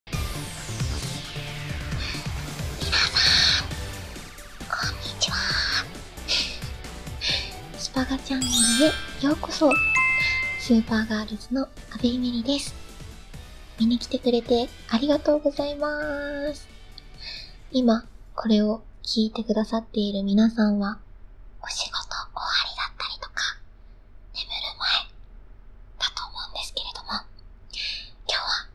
皆さんこんにちはスパガチャンネルへようこそスーパーガールズの阿部ゆめりです見に来てくれてありがとうございます今これを聞いてくださっている皆さんはお仕事終わりだったりとか眠る前だと思うんですけれども、今日は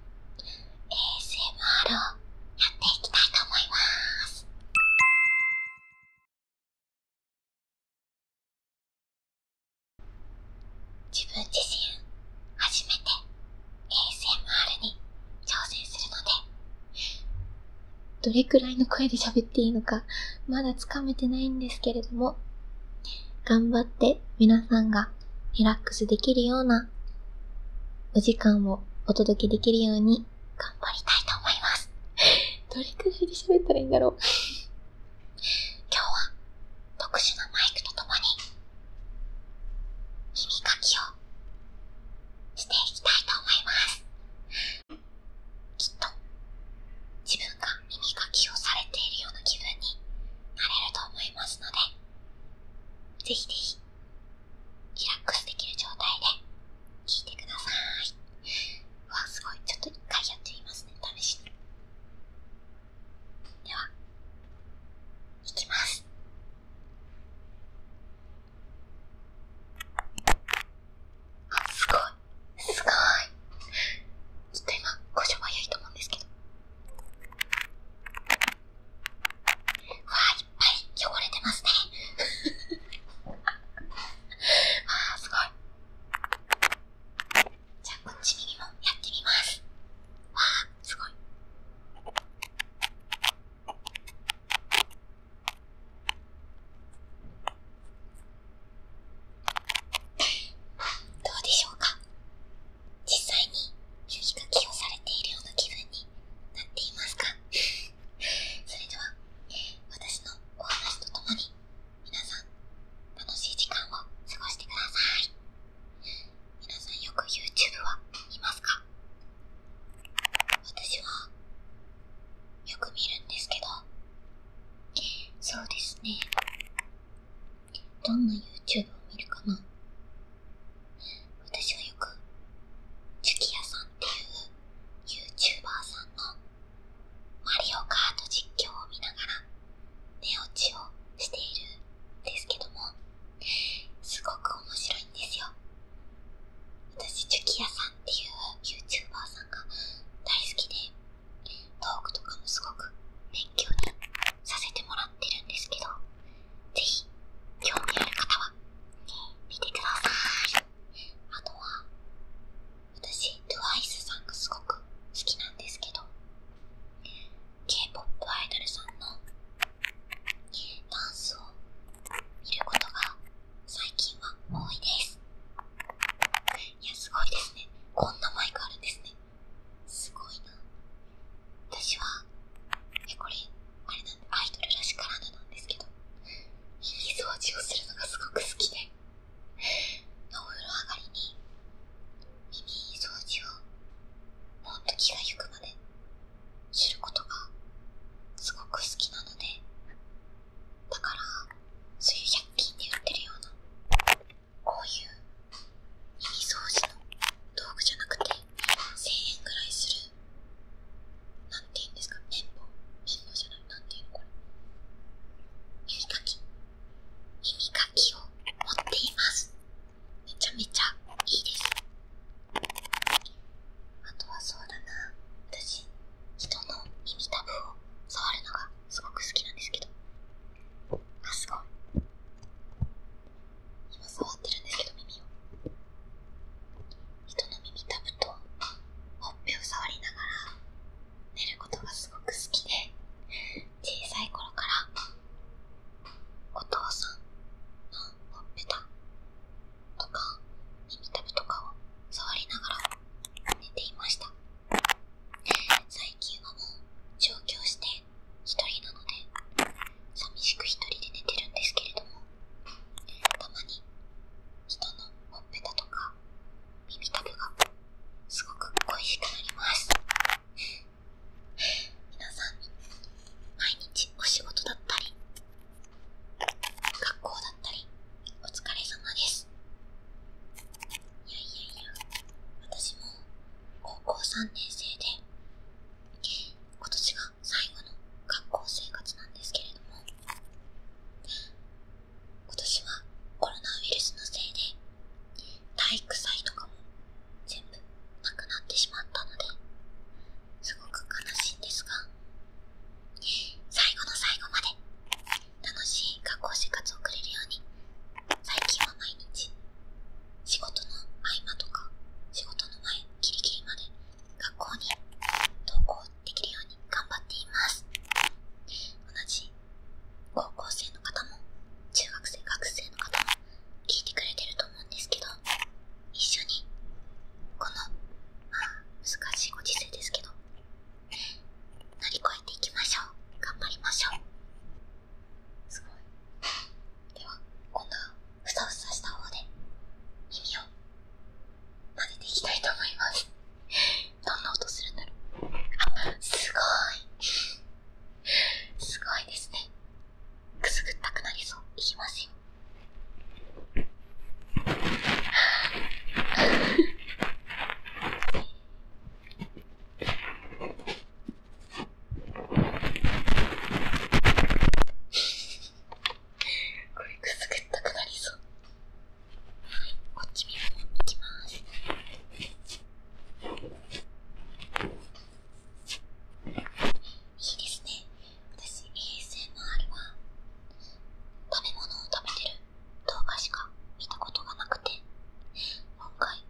ASMR をやっていきたいと思います。自分自身初めて ASMR に挑戦するので、どれくらいの声で喋っていいのかまだつかめてないんですけれども、頑張って皆さんがリラックスできるようなお時間をお届けできるように頑張りたいと思います。どれくらいで喋ったらいいんだろう今日は特殊なマイクとともに耳かきをしていきたいと思います。きっと自分が耳かきをされているような気分になれると思いますのでぜひぜひリラックスできる状態で聞いてください。うわ、すごい。ちょっと一回やってみますね。試しに。では、いきます。あ、すごい。すごい。ちょっと今、故障早いと思うんですけど。わあ、いっぱい汚れてますね。わ あ、すごい。じゃあ、こっちにもやってみます。わあ、すごい。どうでしょうか実際に注意書きをされているような気分になっていますか それでは、私のお話とともに皆さん楽しい時間を過ごしてください皆さんよく YouTube は見ますか私は、よく見るんですけど、そうですね。どんな YouTube を見るかな私はよく、チュキヤさんっていう YouTuber さんのマリオカート実況を見ながら寝落ちをしているんですけども、すごく面白いんですよ。私、ジュキヤさんっていう YouTuber さんが大好きで、トークとかもすごく勉強にさせてもらってるんですけど、ぜひ、興味ある方は、見てください。あとは、私、TWICE さんがすごく好きなんですけど、K-POP アイドルさんのダンスを見ることが最近は多いですいやすごいですねこんなマイクあるんですねすごいな私はえこれあれなアイドルらしからぬなんですけど耳掃除をするのがすごく好きでお風呂上がりに耳掃除をもっと気がゆくまですることがすごく好きなのでだからそういう100均で売ってるようなこういう耳掃除の道具じゃなくて1000円ぐらいするなんて言うんですか綿棒綿棒じゃないなんていうのこれ耳かき耳かきを持っていますめちゃめちゃいいです。あとはそうだな、私、人の耳たぶを触るのがすごく好きなんですけど。あ、すごい。今触ってるんですけど、耳を。人の耳たぶとほっぺを触りながら寝ることがすごく好きで、小さい頃からお父さんのほっぺたとか耳たぶとかを触りながら寝ていました最近はもう上京して一人なので寂しく一人で寝てるんですけれどもたまに人のほっぺたとか耳たぶがすごく恋しくなります皆さん毎日お仕事だったり学校だったりお疲れ様ですいやいやいや私も高校3年生で今年が最後の学校生活なんですけれども今年はコロナウイルスのせいで体育祭とかも全部なくなってしまったのですごく悲しいんですが最後の最後まで楽しい学校生活を送れるように最近は毎日仕事の合間とか仕事の前キリキリまで学校に登校できるように頑張っています同じ高校生の方も中学生学生の方も聞いてくれてると思うんですけど一緒にこの難しいご時世ですけど乗り越えていきましょう頑張りましょうすごいでは今度はふさふさした方で耳を混ぜていきたいと思いますどんな音するんだろうすごいすごいですねくすぐったくなりそういきますよ これくすぐったくなりそうこっち見るの行きます。いいですね。私 ASMR は食べ物を食べてる動画しか見たことがなくて、今回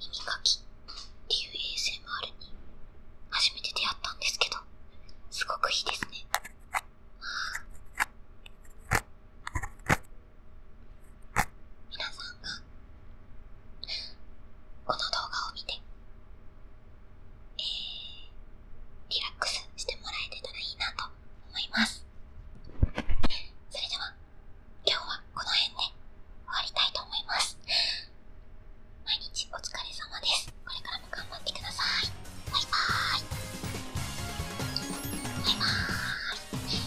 耳かきっていう ASMR に初めて出会ったんですけど、すごくいいですね。皆さんがこの動画を見て、えリラックスしてもらえてたらいいなと思いますそれでは今日はこの辺で終わりたいと思います毎日お疲れ様ですこれから頑張ってくださいバイババイバーイ